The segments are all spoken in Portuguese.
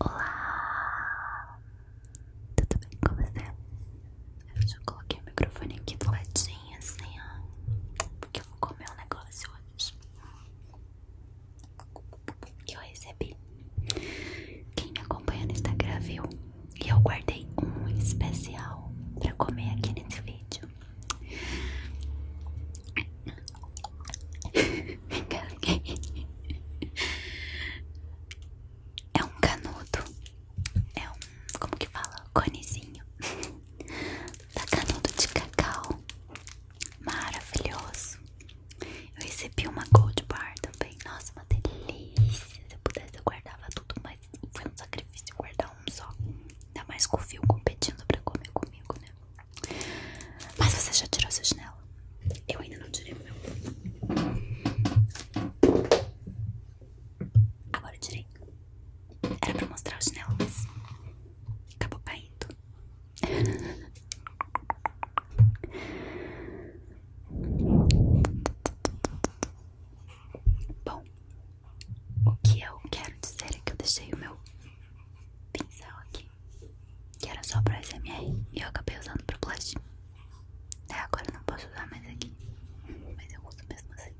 Olá, tudo bem com você? Eu já coloquei o microfone aqui do assim, porque eu vou comer um negócio hoje que eu recebi. Quem me acompanha no Instagram viu e eu guardei um especial pra comer aqui nesse vídeo. É um canudo, é um, como que fala, conezinho da tá canudo de cacau, maravilhoso. Eu recebi uma gold bar também, nossa, uma delícia. Se eu pudesse eu guardava tudo, mas foi um sacrifício guardar um só. Ainda mais com o fio competindo pra comer comigo, né? Mas você já tirou sua chinela? Eu ainda não tirei o meu. Agora eu tirei. Era pra mostrar o chinelo, mas acabou caindo. Bom, o que eu quero dizer é que eu deixei o meu pincel aqui, que era só para SMR, e eu acabei usando pro blush. É, agora eu não posso usar mais aqui, mas eu uso mesmo assim.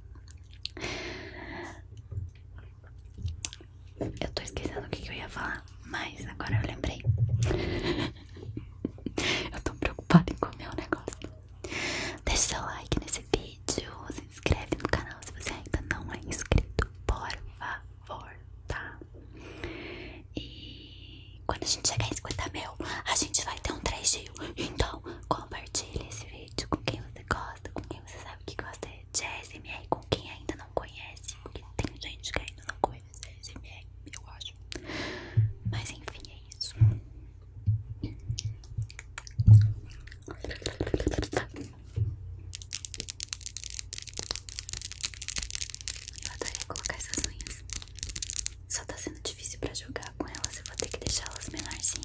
Eu tô esquecendo o que, eu ia falar, mas agora eu lembrei. eu tô preocupada em comer o negócio. Deixa seu like nesse vídeo se inscreve no canal se você ainda não é inscrito, por favor, tá? E quando a gente chegar em 50 mil, a gente vai ter um 3 Então, compartilhe esse vídeo com quem você gosta, com quem você sabe que gosta de ASMR, com quem ainda não conhece, porque tem gente que ainda não conhece ASMR, eu acho. Mas enfim, é isso. Eu adoraria colocar essas unhas. Só tá sendo difícil pra jogar com elas. Eu vou ter que deixá-las menorzinhas.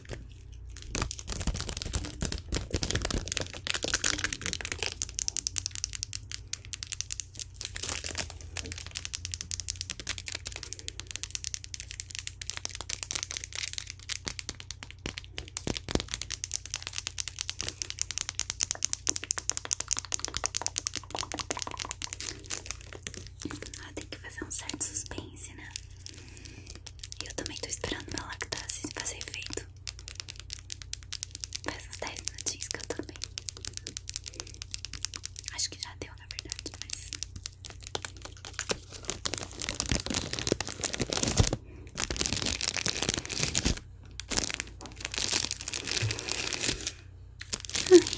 tem que fazer um certo suspense, né? E eu também tô esperando lá minha lactase fazer efeito. Faz uns 10 minutinhos que eu também. Acho que já deu, na verdade, mas.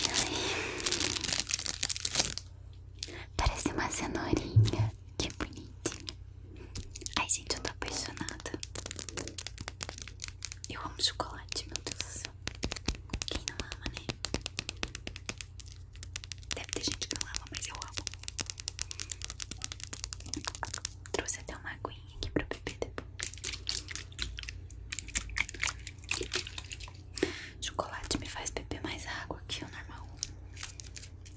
Ai, ai. Parece uma cenourinha que bonitinho. Ai, gente, eu tô apaixonada. Eu amo chocolate, meu Deus do céu. Quem não ama, né? Deve ter gente que não ama, mas eu amo. Trouxe até uma aguinha aqui pra beber depois. Chocolate me faz beber mais água que o normal.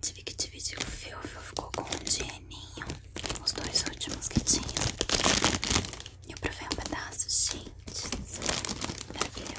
Tive que dividir o fio, ficou com um dinheirinho, os dois últimos que tinham. Eu provei um pedaço, gente. Maravilhoso.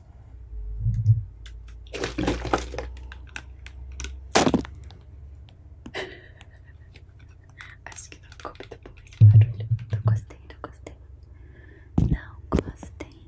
Acho que não ficou muito bom esse barulho. Não gostei, não gostei. Não gostei.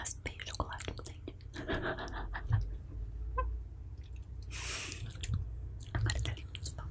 as o chocolate com dente. Agora tá lindo tá os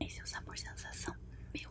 Esse é o sabor sensação, meu.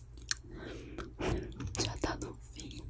Já tá no fim.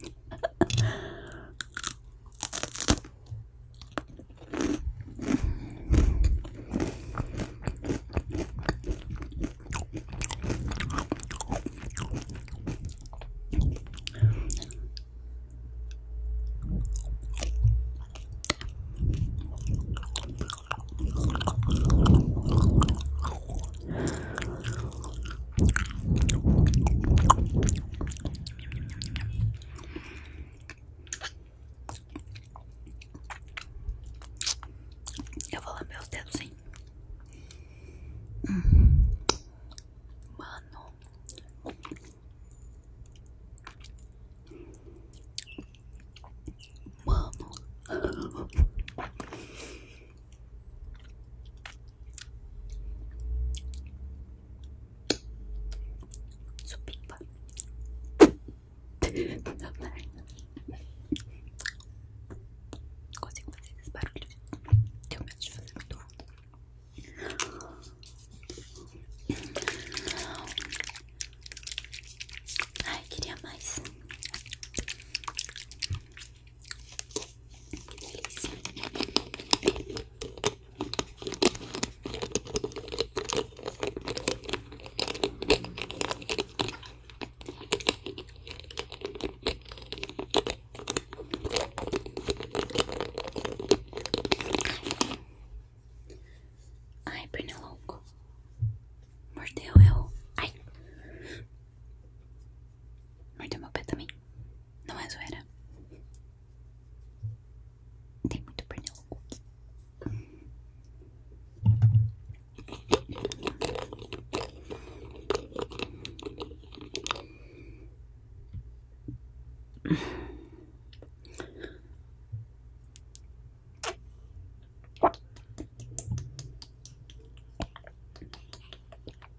Eu vou lamber os dedos, hein? Mano. Mano. Supimba. Consigo fazer esse barulho Tenho medo de fazer muito Ai, queria mais. Ai, delícia. Ai, pernilongo. Mordeu eu. Ai. Mordeu meu pé também. Não é zoeira. Tem muito pernilongo.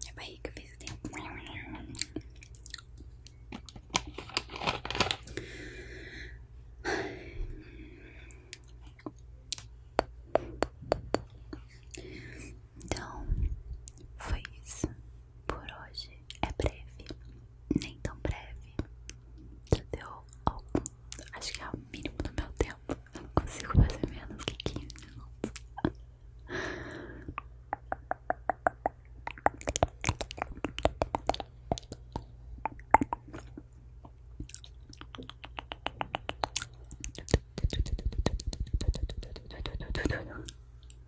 Minha barriga fez assim. Então, foi isso por hoje é breve, nem tão breve. Já deu algum, acho que é o mínimo do meu tempo. Eu não consigo fazer menos que 15 minutos.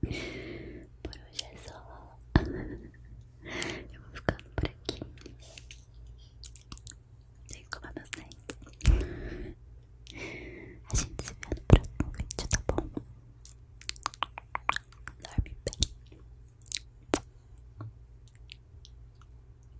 Por hoje é só. Eu vou ficando por aqui. Sem escovar meus dentes. A gente se vê no próximo vídeo, tá bom? Dorme bem.